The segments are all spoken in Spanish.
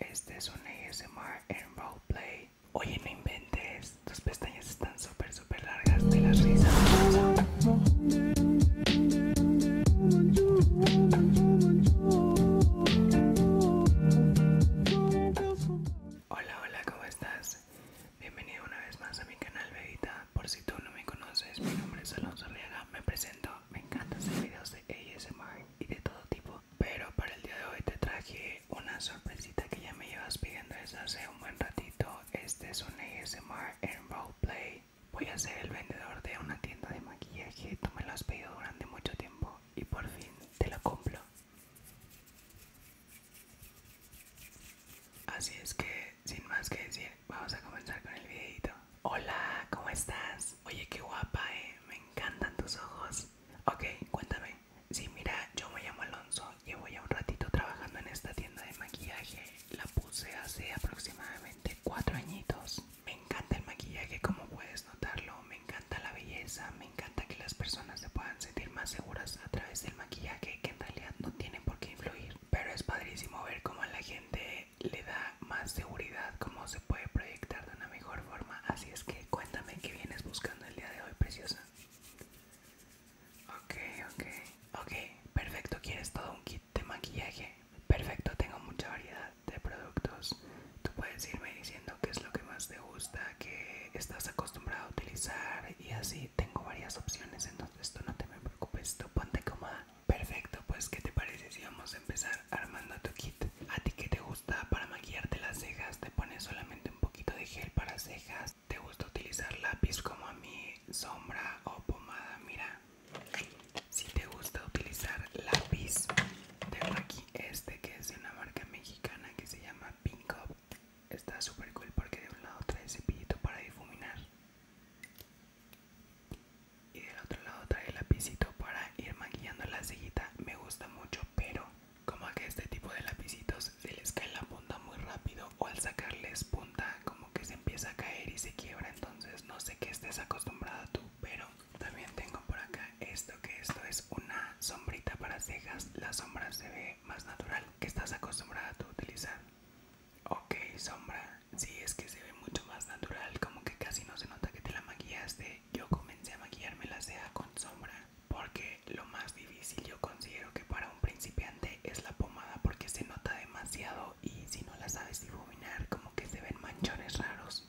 Este es un ASMR en roleplay. Oye, no inventes. Tus pestañas están súper, super largas de las risas. Hola, hola, ¿cómo estás? Bienvenido una vez más a mi canal, bebita. Por si tú no me conoces, mi nombre es Alonso Arriaga. Me presento. Me encantan hacer videos de ASMR y de todo tipo pero para el día de hoy te traje una sorpresita que ya me llevas pidiendo desde hace un buen ratito. Este es un ASMR en roleplay. Voy a ser el vendedor de una tienda de maquillaje. Tú me lo has pedido durante mucho tiempo y por fin te lo cumplo. Así es que, sin más que decir, vamos a comenzar con el videito. Hola, ¿cómo estás? Oye, qué guapa, eh me encantan tus ojos. Ok, cuéntame. Sí, mira, yo me llamo Alonso. Llevo ya un ratito trabajando en esta tienda de maquillaje. La puse hace aproximadamente cuatro añitos. Me encanta el maquillaje, como puedes notarlo. Me encanta la belleza. Me encanta que las personas se puedan sentir más seguras a través del maquillaje, que en realidad no tiene por qué influir. Pero es padrísimo ver cómo a la gente le da más seguridad, cómo se puede proyectar de mejor forma. Así es que cuéntame qué vienes buscando el día de hoy, preciosa. Ok, ok. Ok, perfecto. ¿Quieres todo un kit de maquillaje? Perfecto, tengo mucha variedad de productos. Tú puedes irme diciendo qué es lo que más te gusta, qué estás acostumbrado a utilizar y así tengo varias opciones. Entonces tú no te me preocupes, tú ponte cómoda. Perfecto, pues ¿qué te parece si vamos a empezar armando tu kit. ¿A ti que te gusta para maquillarte las cejas? ¿Te pones solamente un poquito de gel para cejas? ¿Te gusta utilizar lápiz como a mí, sombra o pomada? Mira, si te gusta utilizar lápiz, tengo aquí este que es de una marca mexicana que se llama Pink Está súper cool porque de un lado trae cepillito para difuminar y del otro lado trae el lapicito para ir maquillando la cejita me gusta mucho pero como que este tipo de lapicitos se les cae la punta muy rápido o al sacarles punta como que se empieza a caer y se quiebra entonces no sé qué estés acostumbrada tú pero también tengo por acá esto que esto es una sombrita para cejas la sombra se ve más natural que estás acostumbrada tú a utilizar ok sombra si sí, es que se ve mucho más natural como que casi no se nota que te la maquillaste yo comencé a maquillarme la ceja con sombra porque lo más difícil yo considero que para un principiante es la pomada porque se nota demasiado y si no la sabes difuminar como que se ven manchones raros.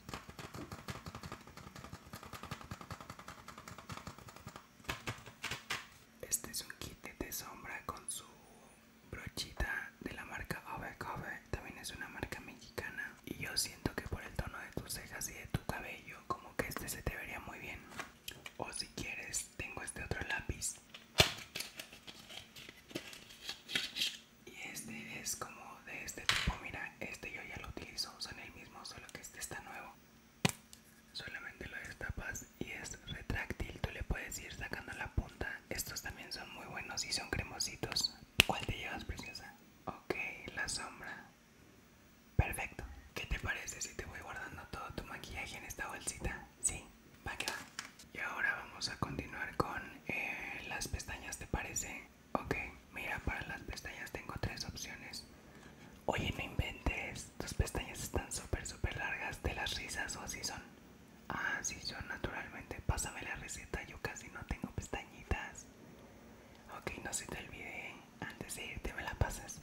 Este es un kit de sombra con su brochita de la marca Cover también es una marca mexicana y yo siento que por el tono de tus cejas y de tu cabello como que este se te vería muy bien o si quieres tengo este otro lápiz y este es como de este tipo mira este yo ya lo utilizo son el mismo solo que este está nuevo solamente lo destapas y es retráctil tú le puedes ir sacando la punta estos también son muy buenos y son cremositos ¿Cuál te llevas, preciosa? Ok, la sombra. Perfecto. ¿Qué te parece si te voy guardando todo tu maquillaje en esta bolsita? Sí, va que Y ahora vamos a continuar con eh, las pestañas, ¿te parece? Ok, mira, para las pestañas tengo tres opciones. Oye, no inventes, tus pestañas están súper, súper largas, de las risas o así son? Ah, sí, yo naturalmente. Pásame la receta, yo casi no tengo pestañitas. Ok, no se te olvide. Antes de irte me la pasas.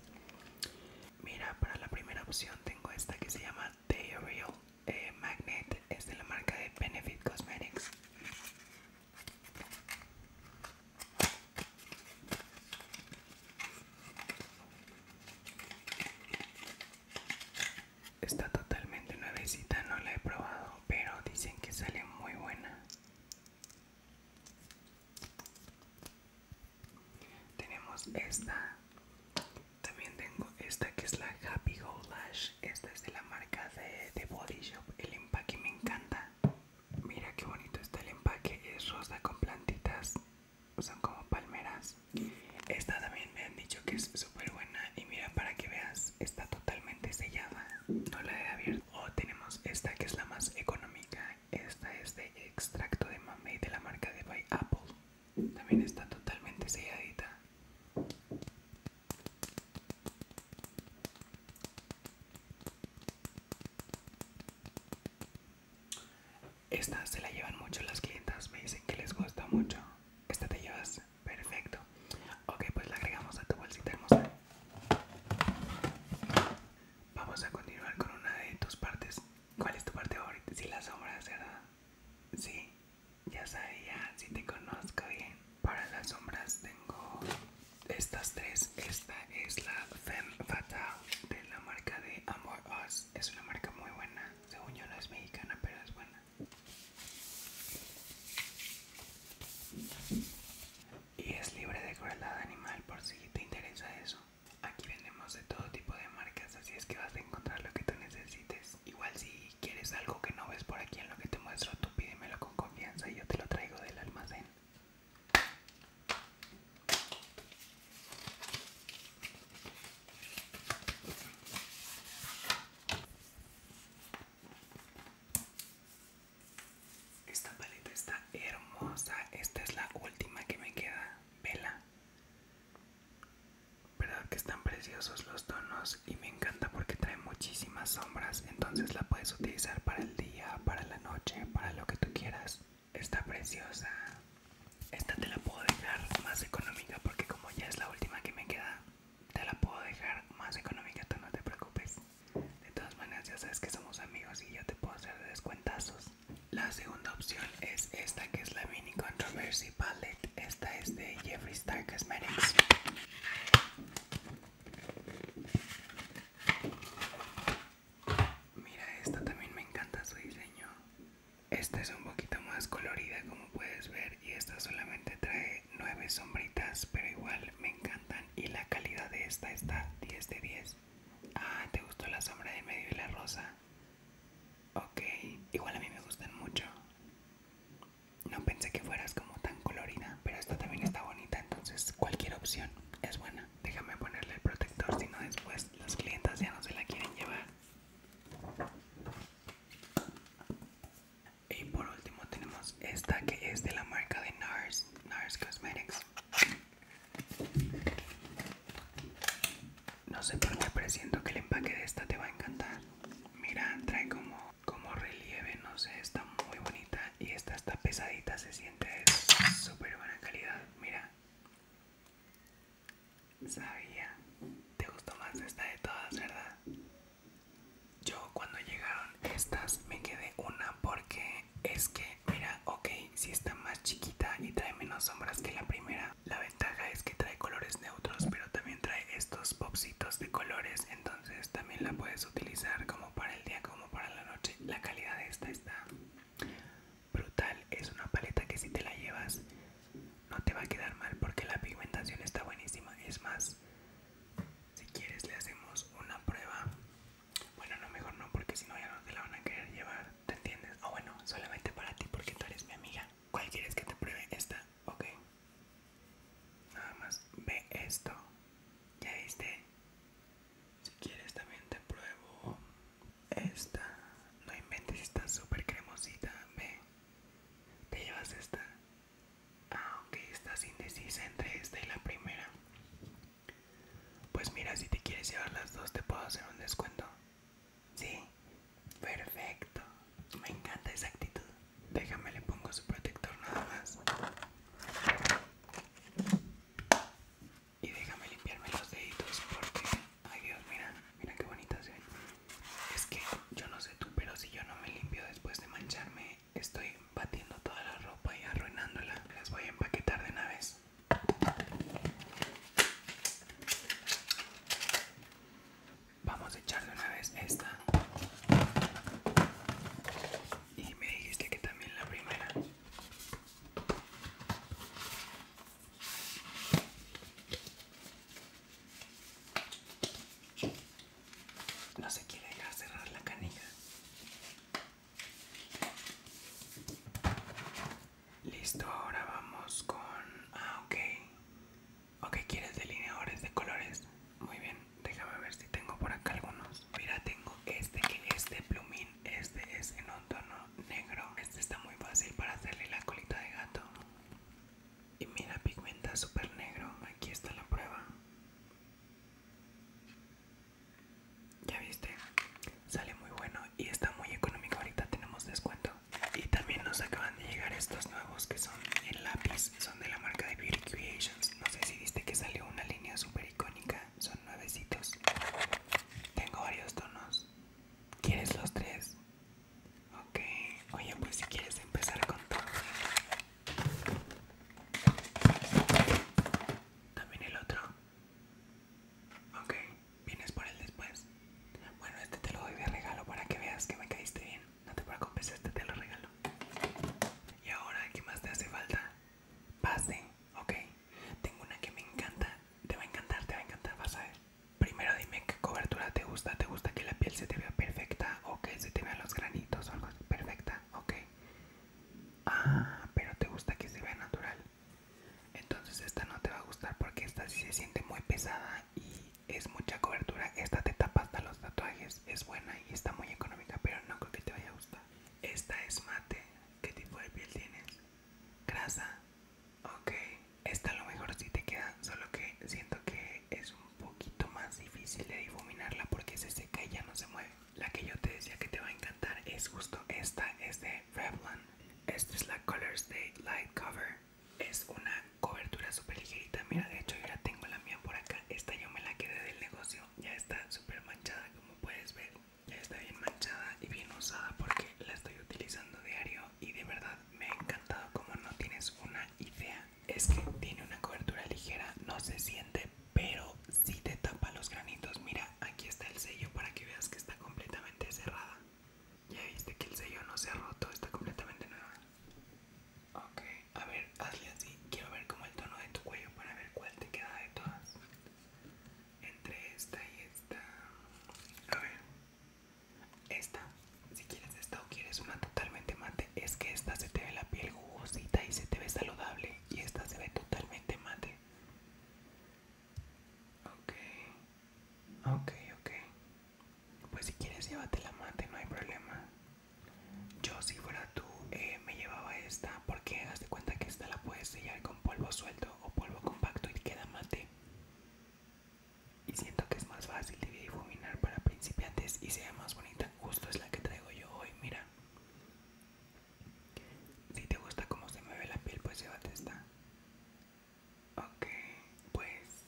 Mira, para la primera opción tengo esta que se llama The Real eh, Magnet. Es de la marca de Benefit Cosmetics. Está totalmente nuevecita, no la he probado, pero dicen que sale muy buena. Tenemos esta. También tengo esta que es la Happy Go Lash. Esta es de la marca de, Body Shop. El empaque me encanta. Mira qué bonito está el empaque. Es rosa con plantitas. Son como palmeras. Esta también me han dicho que es buena y mira para que veas está totalmente sellada no la he abierto o oh, tenemos esta que es la más económica esta es de extracto de mamey de la marca de by apple también está totalmente selladita esta se la llevan mucho las clientas me dicen que les gusta mucho esta te llevas perfecto. Ok, pues la agregamos a tu bolsita hermosa. Vamos a continuar con una de tus partes. ¿Cuál es tu parte favorita? ¿Si las sombras, ¿verdad? Sí, ya sabía, si te conozco bien. Para las sombras tengo estas tres. Esta es la Femme Fatal de la marca de Amor Oz Es una marca muy buena. Según yo no es mexicana, pero es buena. Y es libre de crueldad animal por si te interesa eso. Aquí vendemos de todo tipo de marcas, así es que vas a encontrar lo que tú necesites. Igual si quieres algo que no ves por aquí en lo que te muestro, tú pídemelo con confianza y yo te lo traigo del almacén. Esta paleta está hermosa. Esta es la última que me queda. Vela. Verdad que están preciosos los tonos y me encanta porque trae muchísimas sombras. Entonces la puedes utilizar para el día, para la noche, para lo que tú quieras. Está preciosa. Esta te la puedo dejar más económica porque como ya es la última que me queda, te la puedo dejar más económica, tú no te preocupes. De todas maneras, ya sabes que somos amigos y yo te puedo hacer descuentazos. La segunda opción es esta que es la Mini Controversy Palette. Esta es de Jeffree Star Cosmetics. Mira, esta también me encanta su diseño. Esta es un poquito más colorida como puedes ver y esta solamente trae 9 sombritas, pero igual me encantan y la calidad de esta está 10 de 10. Ah, ¿te gustó la sombra de medio y la rosa? Ok, igual a mí me gustan mucho. No pensé que fueras como tan colorida, pero esta también está bonita, entonces cualquier opción es buena. Déjame ponerle el protector, si no después las clientas ya no se la quieren llevar. Y por último tenemos esta que es de la marca de NARS, NARS Cosmetics. No sé por qué, pero siento que el empaque de esta te va a encantar. Mira, trae como, como relieve, no sé, está muy bonita y esta está pesadita, se siente de súper buena calidad. Mira, Sabía. Te gustó más esta de todas, ¿verdad? Yo cuando llegaron estas me quedé una porque es que, mira, ok, si está más chiquita y trae menos sombras que la primera. La ventaja es que trae colores neutros, pero también trae estos popsitos de colores, entonces también la puedes utilizar como para el día como para la noche. La calidad de esta está brutal, es una paleta que si te la llevas no te va a quedar mal porque la pigmentación está buenísima. Es más, si quieres le hacemos una prueba. Bueno, no, mejor no porque si no ya no te la van a querer llevar. ¿Te entiendes? O bueno, solamente para ti porque tú eres mi amiga. ¿Cuál quieres que te pruebe? Esta, ok. Nada más ve esto. ¿Ya viste? Si quieres también te pruebo esta. No inventes, está súper cremosita. Ve. Te llevas esta. ah, ok, estás indecisa entre esta y la primera. Pues mira, si te quieres llevar las dos, te puedo hacer un descuento. Sí, perfecto. Me encanta esa actitud. Déjame le pongo su protector nada más. Y déjame limpiarme los deditos porque Ay Dios, mira, mira qué bonita se ve. Es que yo no sé tú, pero si yo no me limpio después de mancharme, estoy batiendo toda la ropa y arruinándola. Las voy a empaquetar de una vez. Vamos a echar de una vez esta. Y me dijiste que también la primera. No se quiere dejar cerrar la canilla. Listo, ahora vamos con... Ah, ok. Ok, ¿quieres delineadores de colores? Muy bien, déjame ver si tengo por acá algunos. Mira, tengo este que este plumín, este es en un tono negro. Este está muy fácil para hacerle la colita de gato. Y mira, pigmenta súper negro. Aquí está la prueba. Ya viste, sale muy bueno y está muy económico. Ahorita tenemos descuento. Y también nos acaban de llegar estos nuevos que son el lápiz. Son de la marca de Beauty Creations. No sé si viste que salió una línea súper icónica. Son nuevecitos. Tengo varios tonos. ¿Quieres los tres? Ok, oye, pues si quieres empezar con todo. También el otro. Ok, vienes por el después. Bueno, este te lo doy de regalo para que veas que me caíste bien. No te preocupes, este te lo regalo. Y ahora, ¿qué más te hace falta? Pase, ok. Tengo una que me encanta. Te va a encantar, te va a encantar, vas a ver. Primero dime qué cobertura te gusta. ¿Te gusta que la piel se te vea perfecta o que se te vean los granitos o algo así? Perfecta, ok. Ah, pero te gusta que se vea natural. Entonces esta no te va a gustar porque esta sí se siente muy pesada y es mucha cobertura. Esta te tapa hasta los tatuajes. Es buena y está muy económica, pero no creo que te vaya a gustar. Esta es mate. ¿Qué tipo de piel tienes? Grasa. Ok, esta a lo mejor si te queda, solo que siento que es un poquito más difícil de difuminarla porque se seca y ya no se mueve. La que yo te decía que te va a encantar es justo esta, es de Revlon. Esta es la Color Stay Light Cover. Es una cobertura súper ligerita, mira, de hecho yo ya tengo la mía por acá. Esta yo me la quedé del negocio, ya está súper manchada como puedes ver. Ya está bien manchada y bien usada porque la estoy utilizando diario y de verdad me ha encantado como no tienes una idea. Es que tiene una cobertura ligera, no se siente, pero sí te tapa los granitos. Mira, aquí está el sello para que veas que está completamente cerrada. Ya viste que el sello no se ha roto, está completamente nueva. Ok, a ver, hazle así. Quiero ver como el tono de tu cuello para ver cuál te queda de todas. Entre esta y esta. A ver. Esta, si quieres esta o quieres una totalmente mate, es que esta se te ve la piel jugosita y se te ve saludable. Y esta se ve totalmente mate. Ok, ok, ok. Pues si quieres, llévate la mate, no hay problema. Yo, si fuera tú, eh, me llevaba esta porque hazte cuenta que esta la puedes sellar con polvo suelto o polvo compacto y queda mate y siento que es más fácil de difuminar para principiantes y sea más bonita justo es la que traigo yo hoy mira si te gusta cómo se mueve la piel pues llévate esta ok pues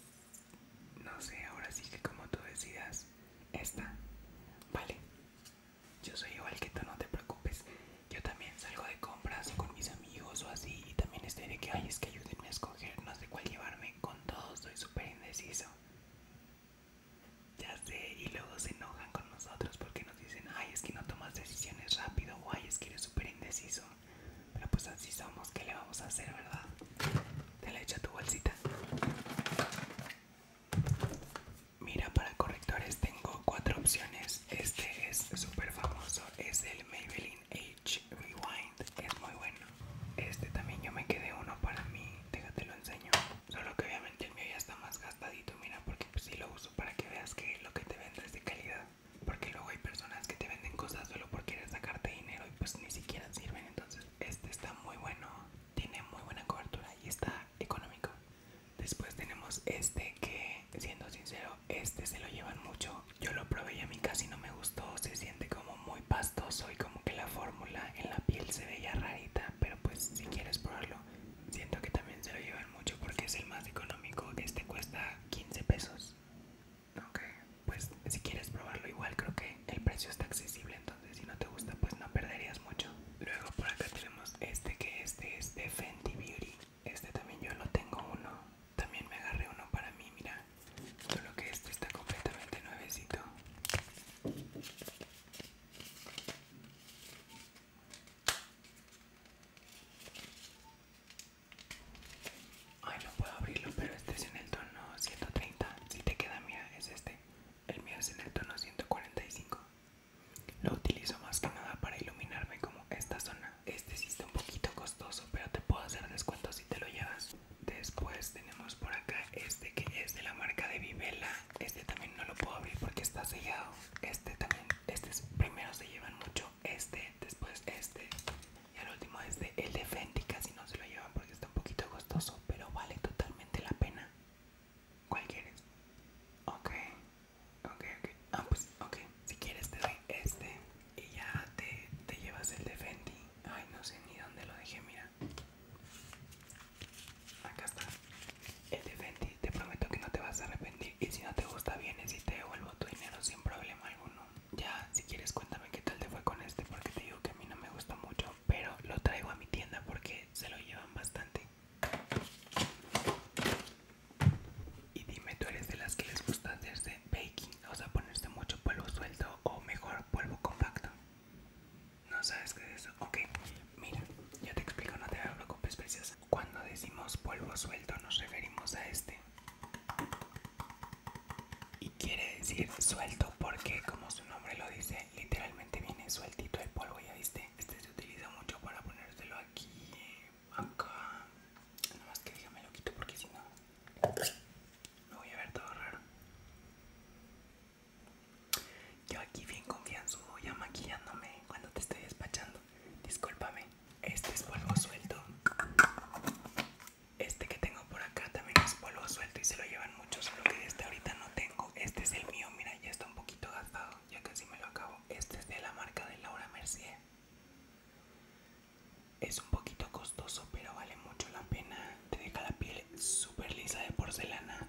no sé ahora sí que como tú decidas esta vale yo soy igual que tú no te preocupes yo también salgo de compras con mis amigos o así y también estoy de que, ay, es que ayúdenme a escoger, no sé cuál llevarme, con todo soy súper indeciso. Ya sé, y luego se enojan con nosotros porque nos dicen, ay, es que no tomas decisiones rápido, o ay, es que eres súper indeciso. Pero pues así somos, ¿qué le vamos a hacer, verdad? Te la echa tu bolsita. Mira, para correctores tengo cuatro opciones este es súper famoso, es el Maybelline Age Rewind, es muy bueno. Este también yo me quedé uno para mí, déjate lo enseño. Solo que obviamente el mío ya está más gastadito, mira, porque pues sí lo uso para que veas que lo que te vendo es de calidad. Porque luego hay personas que te venden cosas solo por querer sacarte dinero y pues ni siquiera sirven. Entonces este está muy bueno, tiene muy buena cobertura y está económico. Después tenemos este que siendo sincero, este se lo llevan mucho. Yo lo probé y a mí casi no me gustó. Se siente como muy pastoso y como que la fórmula en la piel se veía rarita. Pero pues si quieres probarlo, siento que también se lo llevan mucho porque es el más económico. Este cuesta 15 pesos. Ok, pues si quieres probarlo igual creo que el precio está accesible. Entonces si no te gusta pues no perderías mucho. Luego por acá tenemos este que este es de Fenty Beauty. Este también yo lo tengo uno. También me agarré uno para mí, mira. Solo que este está completamente nuevecito. Ay, no puedo abrirlo, pero este es en el tono 130. Si te queda, mira, es este. El mío es en el tono 145. Lo utilizo más que nada para iluminarme como esta zona. Este sí está un poquito costoso, pero te puedo hacer descuento si te lo llevas. Después tenemos por acá este que es de la marca de Vivela. Este también no lo puedo abrir porque está sellado. Este también, este primero se llevan mucho este, después este. Y al último este, el de Fenty casi no se lo llevan porque está un poquito costoso, pero vale totalmente la pena. ¿Cuál quieres? Ok, Ok, ok. Ah, pues, ok. Si quieres te doy este y ya te, llevas el de Fenty. Ay, no sé ni dónde lo dejé, mira. Acá está. El de Fenty. Te prometo que no te vas a arrepentir. Y si no te gusta, vienes y te devuelvo tu dinero sin problema alguno. Ya, si quieres, cuéntame qué tal te fue con este porque te digo que a mí no me gusta mucho. Pero lo traigo a mi tienda porque se lo llevan bastante. Y dime, ¿tú eres de las que les gusta hacerse baking? O sea, ponerse mucho polvo suelto o mejor polvo compacto. ¿No sabes qué es eso? Ok, mira, ya te explico, no te preocupes, preciosa. Cuando decimos polvo suelto nos referimos a este. Y quiere decir suelto porque como su nombre lo dice, literalmente viene sueltito el polvo, ya viste. Este se utiliza mucho para ponérselo aquí acá nada más que dígame lo quito porque si no me voy a ver todo raro yo aquí bien voy ya maquillándome cuando te estoy despachando discúlpame este es polvo suelto este que tengo por acá también es polvo suelto y se lo llevan muchos lo que este ahorita no tengo este es el mío mira ya está un poquito gastado ya casi me lo acabo. Este es de la marca de Laura Mercier. Es un poquito costoso, pero vale mucho la pena. Te deja la piel súper lisa de porcelana.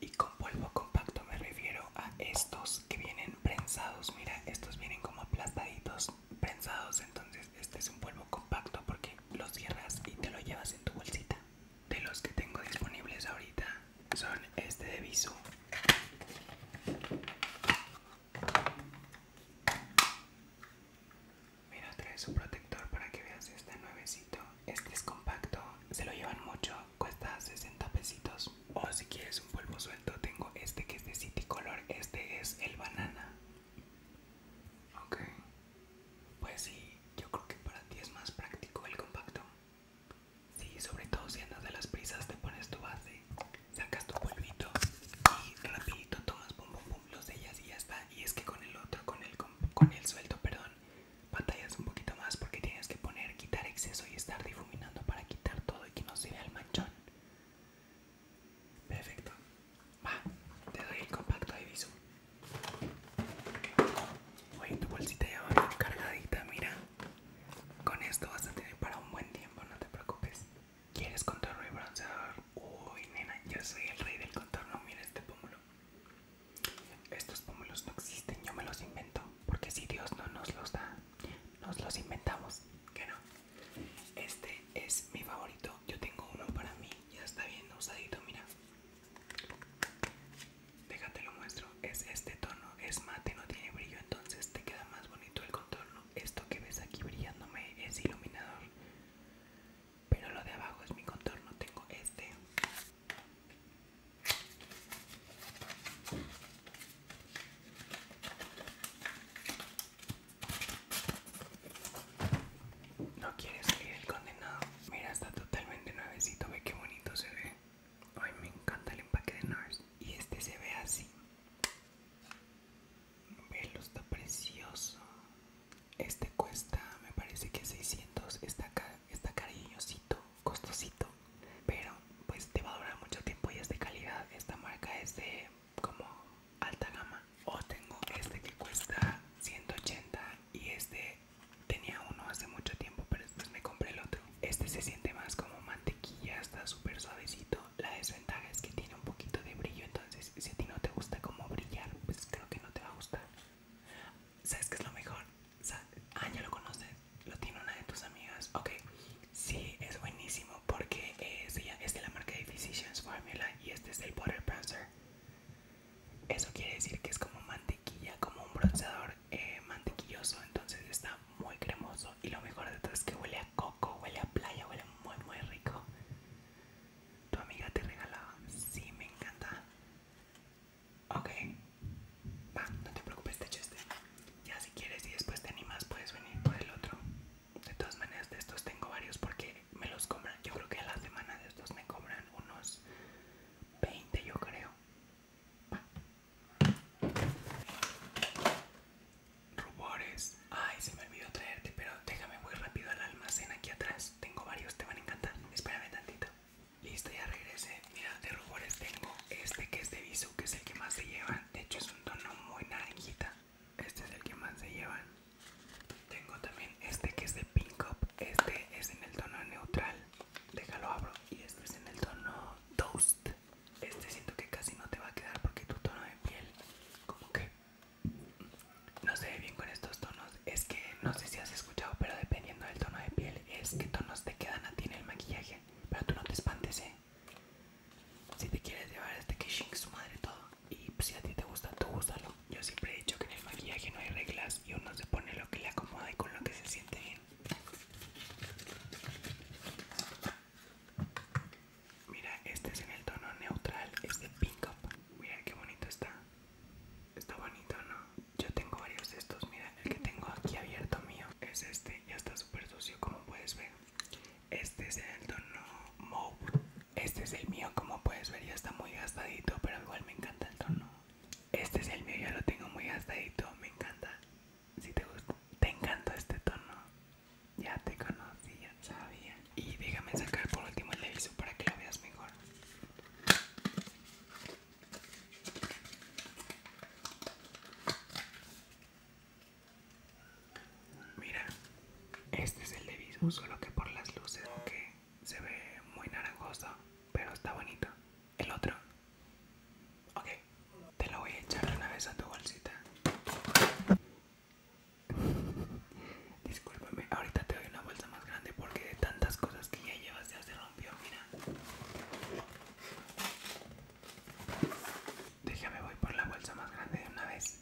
Y con polvo compacto me refiero a estos que vienen prensados. Mira, estos vienen como aplastaditos, prensados. Entonces, este es un polvo compacto porque lo cierras y te lo llevas en tu bolsita de los que tengo disponibles ahorita son este de Visu Mira, trae su protector para que veas este nuevecito. Este es compacto, se lo llevan mucho, cuesta 60 pesitos. O si quieres un polvo suelto, tengo este que es de City Color. Este es el banana. Ok. Pues sí, yo creo que para ti es más práctico el compacto. Sí, sobre todo si andas de las prisas, te pones tu base, sacas tu polvito y rapidito tomas pum pum pum los sellas y ya está. Y es que con el otro, con el, con, el suelto, perdón, batallas un poquito más porque tienes que poner, quitar exceso y estar difuminando para quitar todo y que no se vea el manchón. Perfecto. Va, te doy el compacto de viso. Oye, tu bolsita ya va cargadita, mira. Con esto vas a tener para un buen tiempo, no te preocupes. ¿Quieres contorno y bronceador? Uy, nena, yo soy el rey del contorno, mira este pómulo. Estos pómulos no existen, yo me los invento, porque si Dios no nos los da, nos los inventamos, que no. Este es mi favorito, yo tengo uno para mí, ya está bien usadito, mira. Déjate lo muestro, es este tono, es mate, no tiene brillo, entonces te queda más bonito el contorno. Esto que ves aquí brillándome es iluminador, pero lo de abajo es mi contorno, tengo este. No quiere salir el condenado. Mira, está totalmente nuevecito. Ve qué bonito se ve. Ay, me encanta el empaque de NARS. Y este se ve así. Velo, está precioso. Este cuesta, me parece que 600. Está, está cariñosito, costosito. Pero pues te va a durar mucho tiempo y es de calidad. Esta marca es de como alta gama. O tengo este que cuesta 180 y este Tenía uno hace mucho tiempo, pero después me compré el otro. Este se siente más como mantequilla, está súper suavecito. La desventaja es que tiene un poquito de brillo, entonces si a ti no te gusta como brillar, pues creo que no te va a gustar. ¿Sabes qué es lo mejor? Ah, ya lo conoces, lo tiene una de tus amigas. Ok, sí, es buenísimo porque eh, es, de la marca de Physicians Formula y este es el Butter Bronzer. Eso quiere decir que es como mantequilla, como un bronceador eh, mantequilloso, entonces está muy cremoso y lo mejor de todo es que huele a coco, huele a playa, huele muy muy rico. Tu amiga te regalaba, sí, me encanta. Ok, va, no te preocupes, te hecho este. Ya si quieres y después te animas puedes venir por el otro. De todas maneras de estos tengo varios porque me los compran. Yo creo que a la semana de estos me cobran unos 20 yo creo. Rubores Ay, se me olvidó traerte, pero déjame muy rápido al almacén aquí atrás. Tengo varios, te van a encantar. Espérame tantito. Listo, ya regresé. Mira, de rubores tengo este que es de Visu, que es el que más se llevan. De hecho, es un tono muy naranjita. Este es el que más se llevan. Tengo también este que es de Pink Up. Este es en el tono neutral déjalo abro y este es en el tono toast este siento que casi no te va a quedar porque tu tono de piel como que no se ve bien con estos tonos es que no sé si has escuchado pero dependiendo del tono de piel es que tonos te quedan a ti en el maquillaje pero tú no te espantes eh si te quieres llevar este que su madre todo y si a ti te gusta tú úsalo yo siempre he dicho que en el maquillaje no hay reglas y uno se pone lo que le acomoda y con lo que se siente bien. Mira, este es en el tono neutral, es de Pink Up. Mira qué bonito está. Está bonito, ¿no? Yo tengo varios de estos, mira, el que tengo aquí abierto mío es este, ya está súper sucio como puedes ver. Este es en el tono Mauve. Este es el mío, como puedes ver, ya está muy gastadito, pero igual me encanta el tono. Este es el mío, ya lo tengo muy gastadito, me encanta. Si te gusta, te encanta este tono. Ya te conocía, sabía. Y déjame sacar por último el deviso para que lo veas mejor. Mira, este es el de Viso, solo que por las luces, qué? se ve muy naranjoso pero está bonito El otro, ok, te lo voy a echar de una vez a tu bolsita. Discúlpame, ahorita te doy una bolsa más grande porque de tantas cosas que ya llevas ya se rompió, mira. Déjame voy por la bolsa más grande de una vez.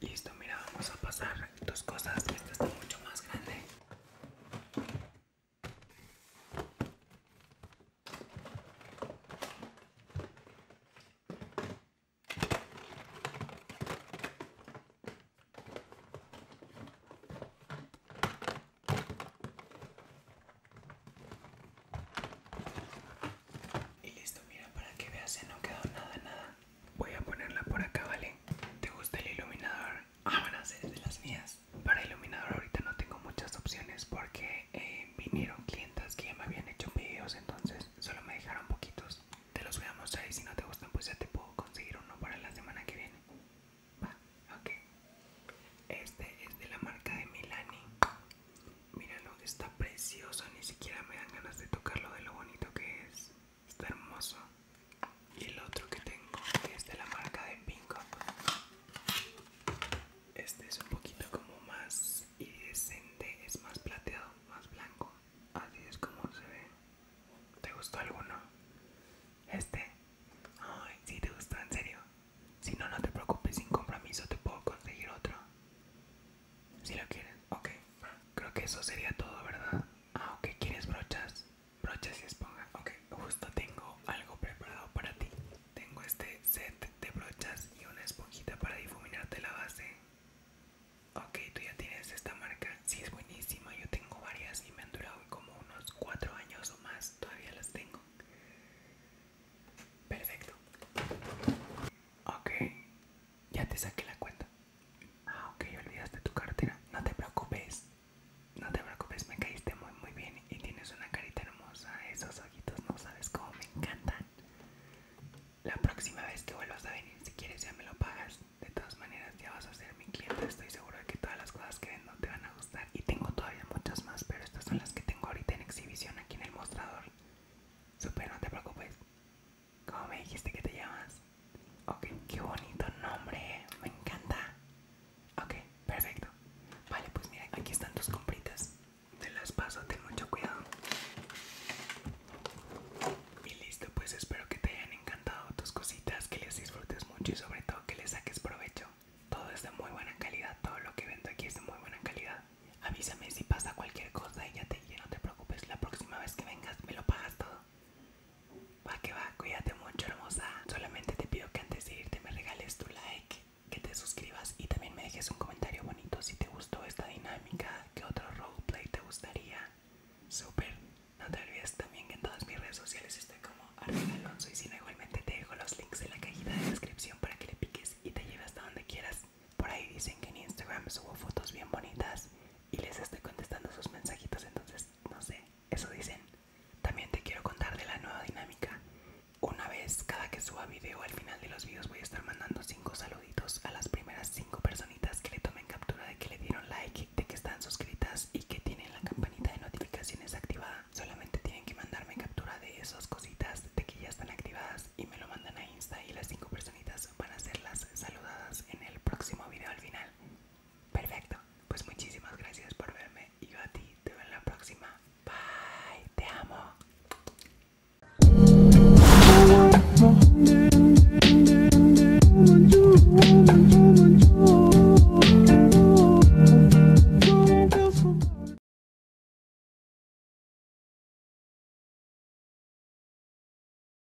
Listo, mira, vamos a pasar tus cosas. Esta está mucho más grande. Y listo, mira para que veas, no quedó nada, nada. Voy a ponerla por acá, ¿vale? ¿Te gusta el iluminador? Ah, de las mías. Para iluminador ahorita no tengo muchas opciones porque eh, vinieron clientas que ya me habían hecho vídeos entonces solo me dejaron poquitos. Te los voy a mostrar y si no te gustan pues ya te puedo conseguir uno para la semana que viene. Va, ok. Este es de la marca de Milani. Míralo, está precioso, ni siquiera me dan ganas de tocarlo de lo bonito que es está hermoso y el otro que tengo es de la marca de Pink este es un poquito como más iridescente es más plateado más blanco así es como se ve ¿te gustó alguno? este ay si te gustó en serio si no no te preocupes sin compromiso te puedo conseguir otro si lo quieres ok creo que eso sería todo verdad ah ok quieres brochas brochas y esponja. Ok, justo tengo algo preparado para ti. Tengo este set de brochas y una esponjita para difuminarte la base. Ok, tú ya tienes esta marca. Sí, es buenísima. Yo tengo varias y me han durado como unos cuatro años o más. Todavía las tengo. Perfecto. Ok, ya te saqué la cuenta. Ah, ok, olvidaste tu cartera. No te preocupes. No te preocupes, me caíste muy muy bien y tienes una carita hermosa. Esos ojitos no sabes cómo me encantan. La próxima vez que vuelvas a venir, si quieres ya me lo pagas. De todas maneras ya vas a ser mi cliente. Estoy segura de que todas las cosas que vendo te van a gustar. Y tengo todavía muchas más, pero estas son las que tengo ahorita en exhibición aquí en el mostrador. Super, no te preocupes. ¿Cómo me dijiste que te llamas? Ok, qué bonito nombre, ¿eh? me encanta. Ok, perfecto. Vale, pues mira, aquí están tus compritas. Te las paso, ten mucho cuidado. Y listo, pues espero que te hayan encantado tus cositas, que les disfrutes mucho y sobre todo que les saques provecho. Todo es de muy buena calidad, todo lo que vendo aquí es de muy buena calidad. Avísame si pasa cualquier cosa y ya, te, ya no te preocupes, la próxima vez que vengas me lo pagas todo. Va que va, cuídate mucho hermosa. Solamente te pido que antes de irte me regales tu like, que te suscribas y también me dejes un comentario bonito si te gustó esta dinámica, qué otro roleplay te gustaría. Super, no te olvides también que en todas mis redes sociales estoy como Arlen Alonso y si no igualmente te dejo los links en la cajita de descripción para que le piques y te lleves hasta donde quieras. Por ahí dicen que en Instagram subo fotos bien bonitas y les estoy contestando sus mensajitos, entonces no sé, eso dicen. También te quiero contar de la nueva dinámica. Una vez cada que suba video, al final de los videos voy a estar mandando Cinco saluditos a las primeras 5 personitas que le tomen captura de que le dieron like, de que están suscritas y que tienen la campanita de notificaciones activada. Solamente tienen que mandarme captura de esas cositas de que ya están activadas y me lo mandan a Insta y las 5 personitas van a ser las saludadas en el próximo video al final. Perfecto, pues muchísimas gracias por verme y yo a ti te veo en la próxima. Bye, te amo.